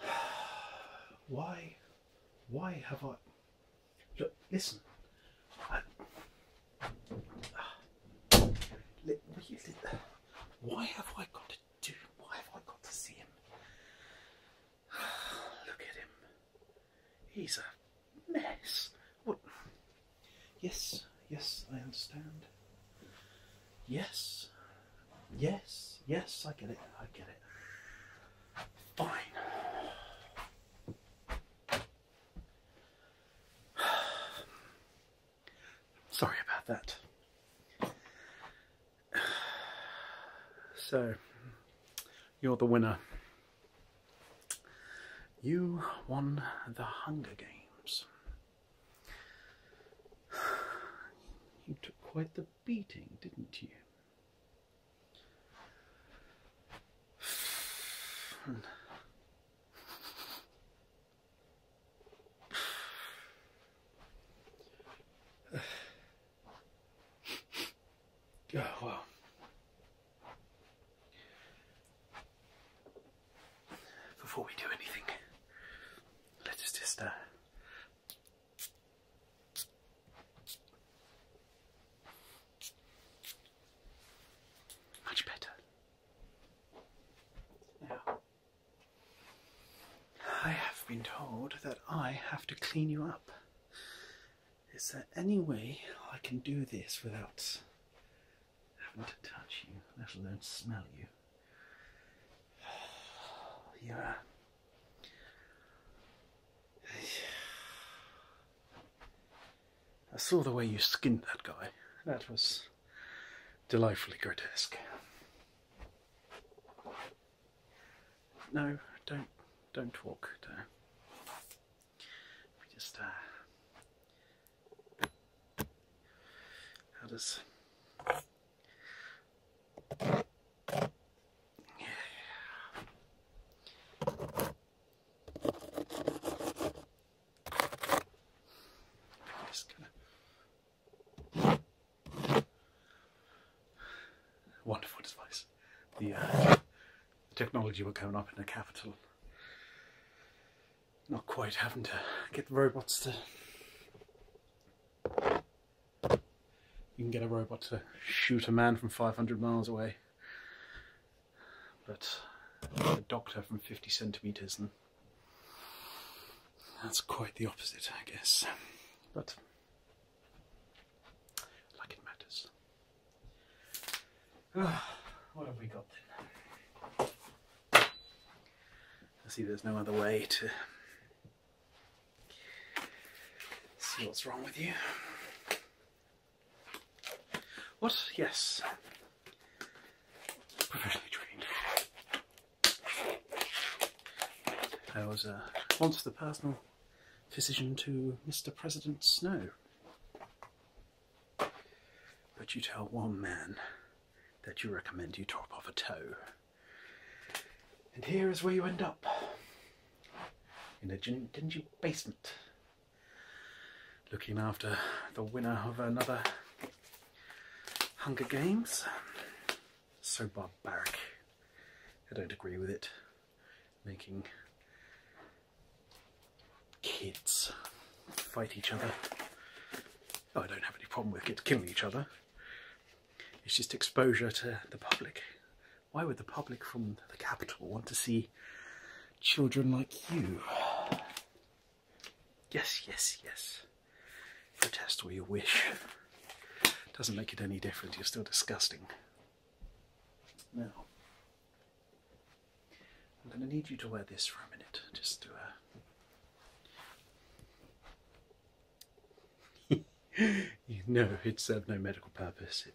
Why? Why have I. Look, listen. Why have I got to do? Why have I got to see him? Look at him. He's a mess. What? Yes, yes, I understand. Yes, yes, yes, I get it, I get it. Fine. Sorry about that. So, you're the winner. You won the Hunger Games. You took quite the beating, didn't you? Oh, well, before we do anything, let us just uh, much better. Now, I have been told that I have to clean you up. Is there any way I can do this without having to touch you, let alone smell you? You're a, I saw the way you skinned that guy. That was delightfully grotesque. No, don't, don't walk. do just uh, how does yeah. just wonderful device the uh, the technology will come up in the capital. Not quite having to get the robots to... You can get a robot to shoot a man from 500 miles away. But a doctor from 50 centimetres and that's quite the opposite I guess but like it matters. what have we got then? I see there's no other way to see what's wrong with you. What? Yes. Professionally trained. I was uh, once the personal physician to Mr. President Snow. But you tell one man that you recommend you drop off a toe. And here is where you end up in a dingy basement looking after the winner of another Hunger Games. So barbaric. I don't agree with it making kids fight each other. Oh, I don't have any problem with kids killing each other. It's just exposure to the public. Why would the public from the capital want to see children like you? Yes, yes, yes. Protest all you wish. Doesn't make it any different, you're still disgusting. Now, I'm going to need you to wear this for a minute, just to. Uh... you no, know, it served no medical purpose.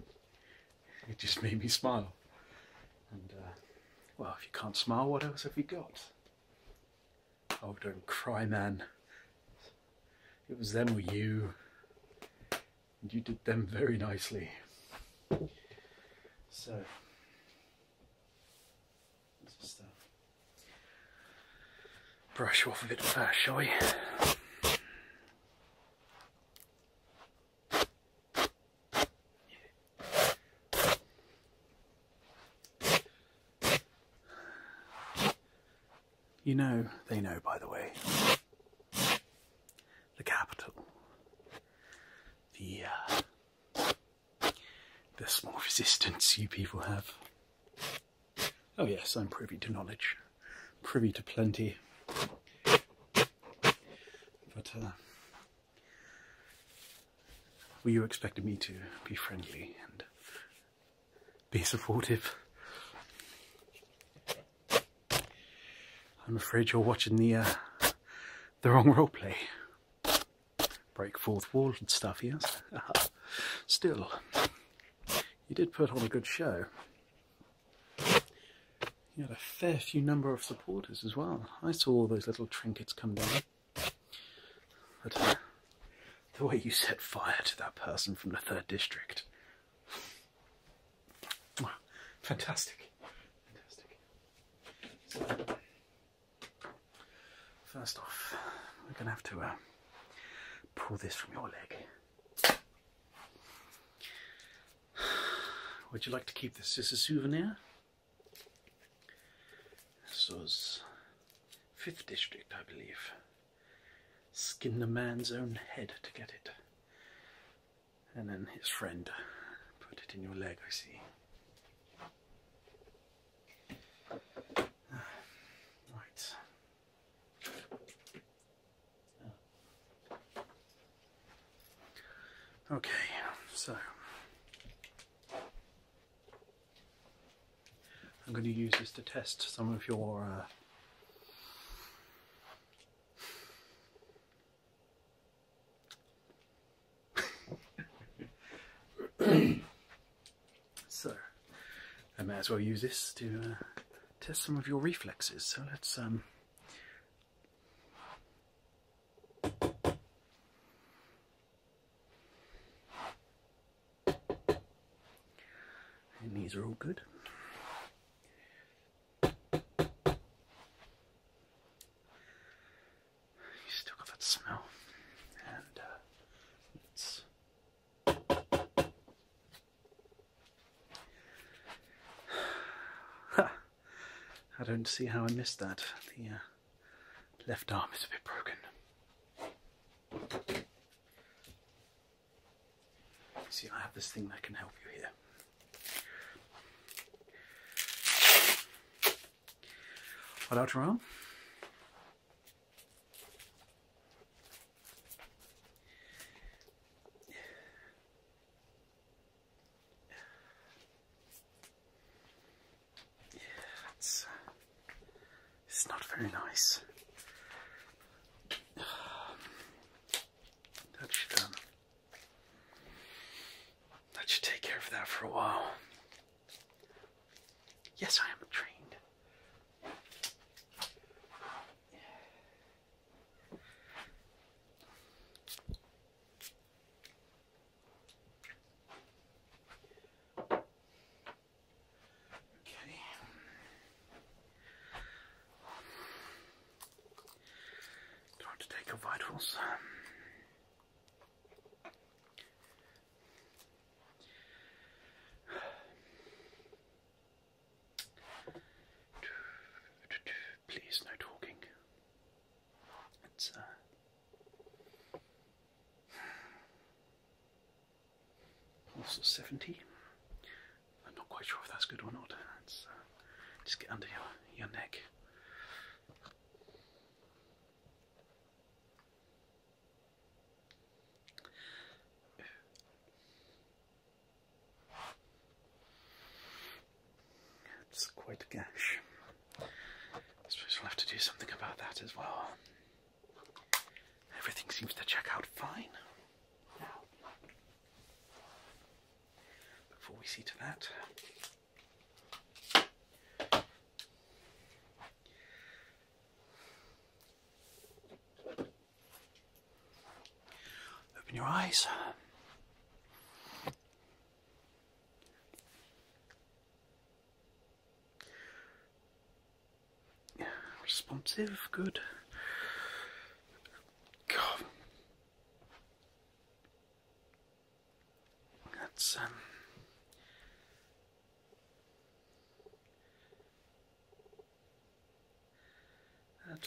It, just made me smile. And, uh, well, if you can't smile, what else have you got? Oh, don't cry, man. It was them or you and you did them very nicely. So, brush off a bit first, shall we? You know, they know, by the way. The capital. The, uh, the small resistance you people have. Oh yes, I'm privy to knowledge. Privy to plenty. But, uh, well, you expect me to be friendly be supportive. I'm afraid you're watching the uh, the wrong role play. Break fourth wall and stuff, yes. Still, you did put on a good show. You had a fair few number of supporters as well. I saw all those little trinkets come down. But uh, the way you set fire to that person from the third district Fantastic. Fantastic. first off, we're going to have to uh, pull this from your leg. Would you like to keep this as a souvenir? This was 5th District, I believe. Skin the man's own head to get it. And then his friend put it in your leg, I see. Ah, right. Ah. Okay, so I'm going to use this to test some of your uh, so, I may as well use this to uh, test some of your reflexes. So let's um, and these are all good. You still got that smell. And it's uh, I don't see how I missed that. The uh, left arm is a bit broken. See, I have this thing that can help you here. Right outer arm. Yeah, it's not very nice. That should, um, that take care of that for a while. Yes, I am trained. Okay. to take your vitals. Please, no talking. It's uh also 70. I'm not quite sure if that's good or not. It's, uh, just get under your, your neck. It's quite a gash. I suppose we'll have to do something about that as well. Everything seems to check out fine. Now, before we see to that, open your eyes. Responsive, good. God. That's um that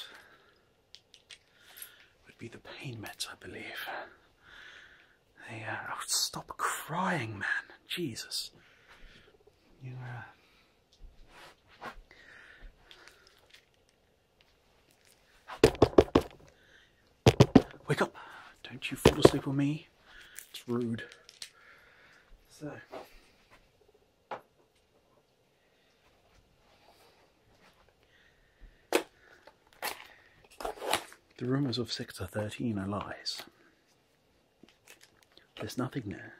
would be the pain meds, I believe. Yeah, uh, oh, stop crying, man. Jesus. You uh, Wake up! Don't you fall asleep on me. It's rude. So. The rumours of Sector 13 are lies. There's nothing there.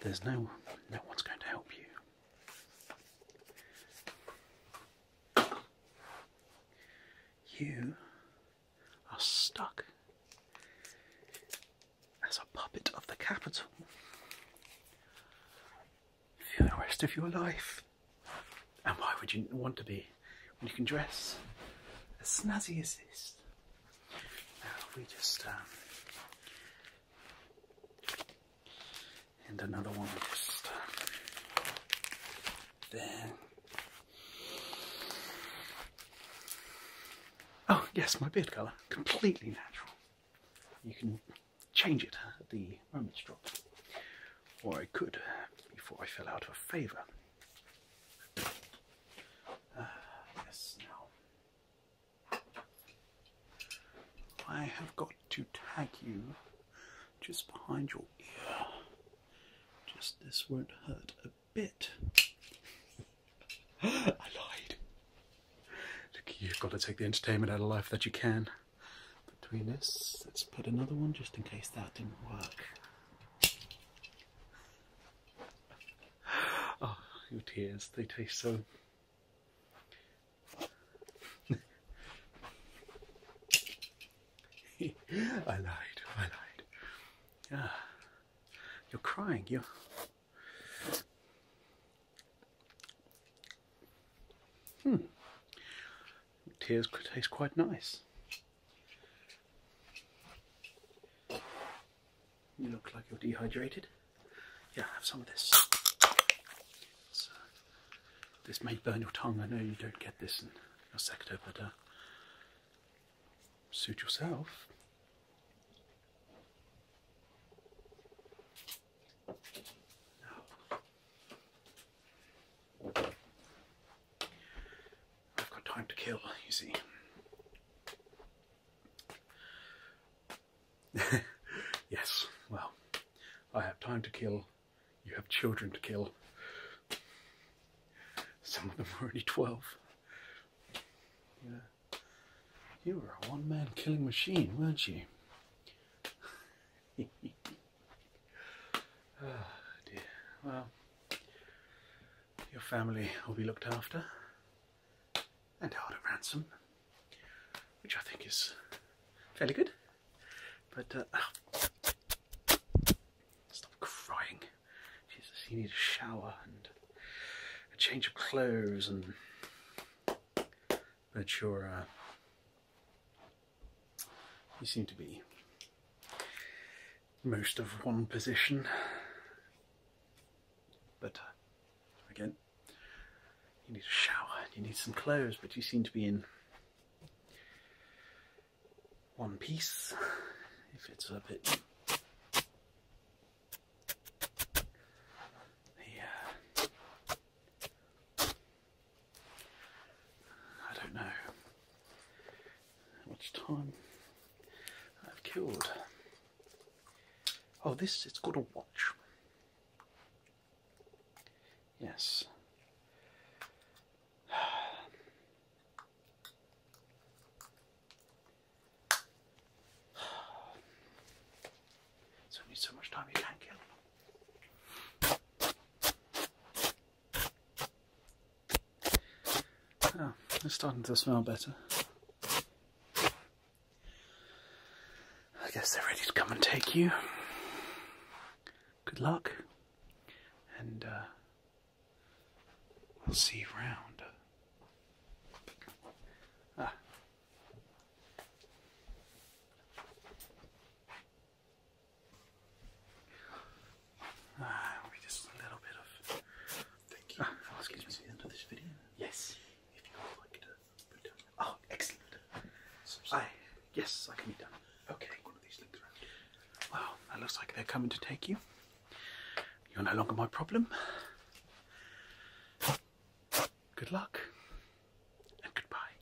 There's no no one's going to help you. You are stuck as a puppet of the capital for the rest of your life. And why would you want to be when you can dress as snazzy as this? we just um, and another one just uh, there. Oh yes, my beard colour completely natural. You can change it at the moment's drop, or I could uh, before I fell out of favour. Ah, yes, now. I have got to tag you just behind your ear. Just this won't hurt a bit. I lied. Look, you've got to take the entertainment out of life that you can. Between us, let's put another one just in case that didn't work. Oh, your tears, they taste so. I lied, I lied. Ah, you're crying, you're. Hmm. Tears could taste quite nice. You look like you're dehydrated. Yeah, have some of this. this may burn your tongue. I know you don't get this in your sector, but uh, suit yourself. I've got time to kill, you see. yes, well, I have time to kill, you have children to kill. Some of them are already 12. You were a one man killing machine, weren't you? Ah, well, your family will be looked after and held at ransom, which I think is fairly good. But uh, oh. stop crying. Jesus, you need a shower and a change of clothes and but you're uh, you seem to be most of one position. But uh, again, you need a shower, you need some clothes, but you seem to be in one piece. If it's a bit the, I don't know. How much time I've killed. Oh, this, it has got a watch. Yes. It's only so much time you can kill. Oh, it's starting to smell better. I guess they're ready to come and take you. Good luck, and uh, we'll see you round. Ah. Ah, just a little bit of. Thank you. Uh, Let's get this video. Yes. Oh, excellent. I, yes, I can be done. Okay. One Well, that looks like they're coming to take you. You're no longer my problem. Good luck and goodbye.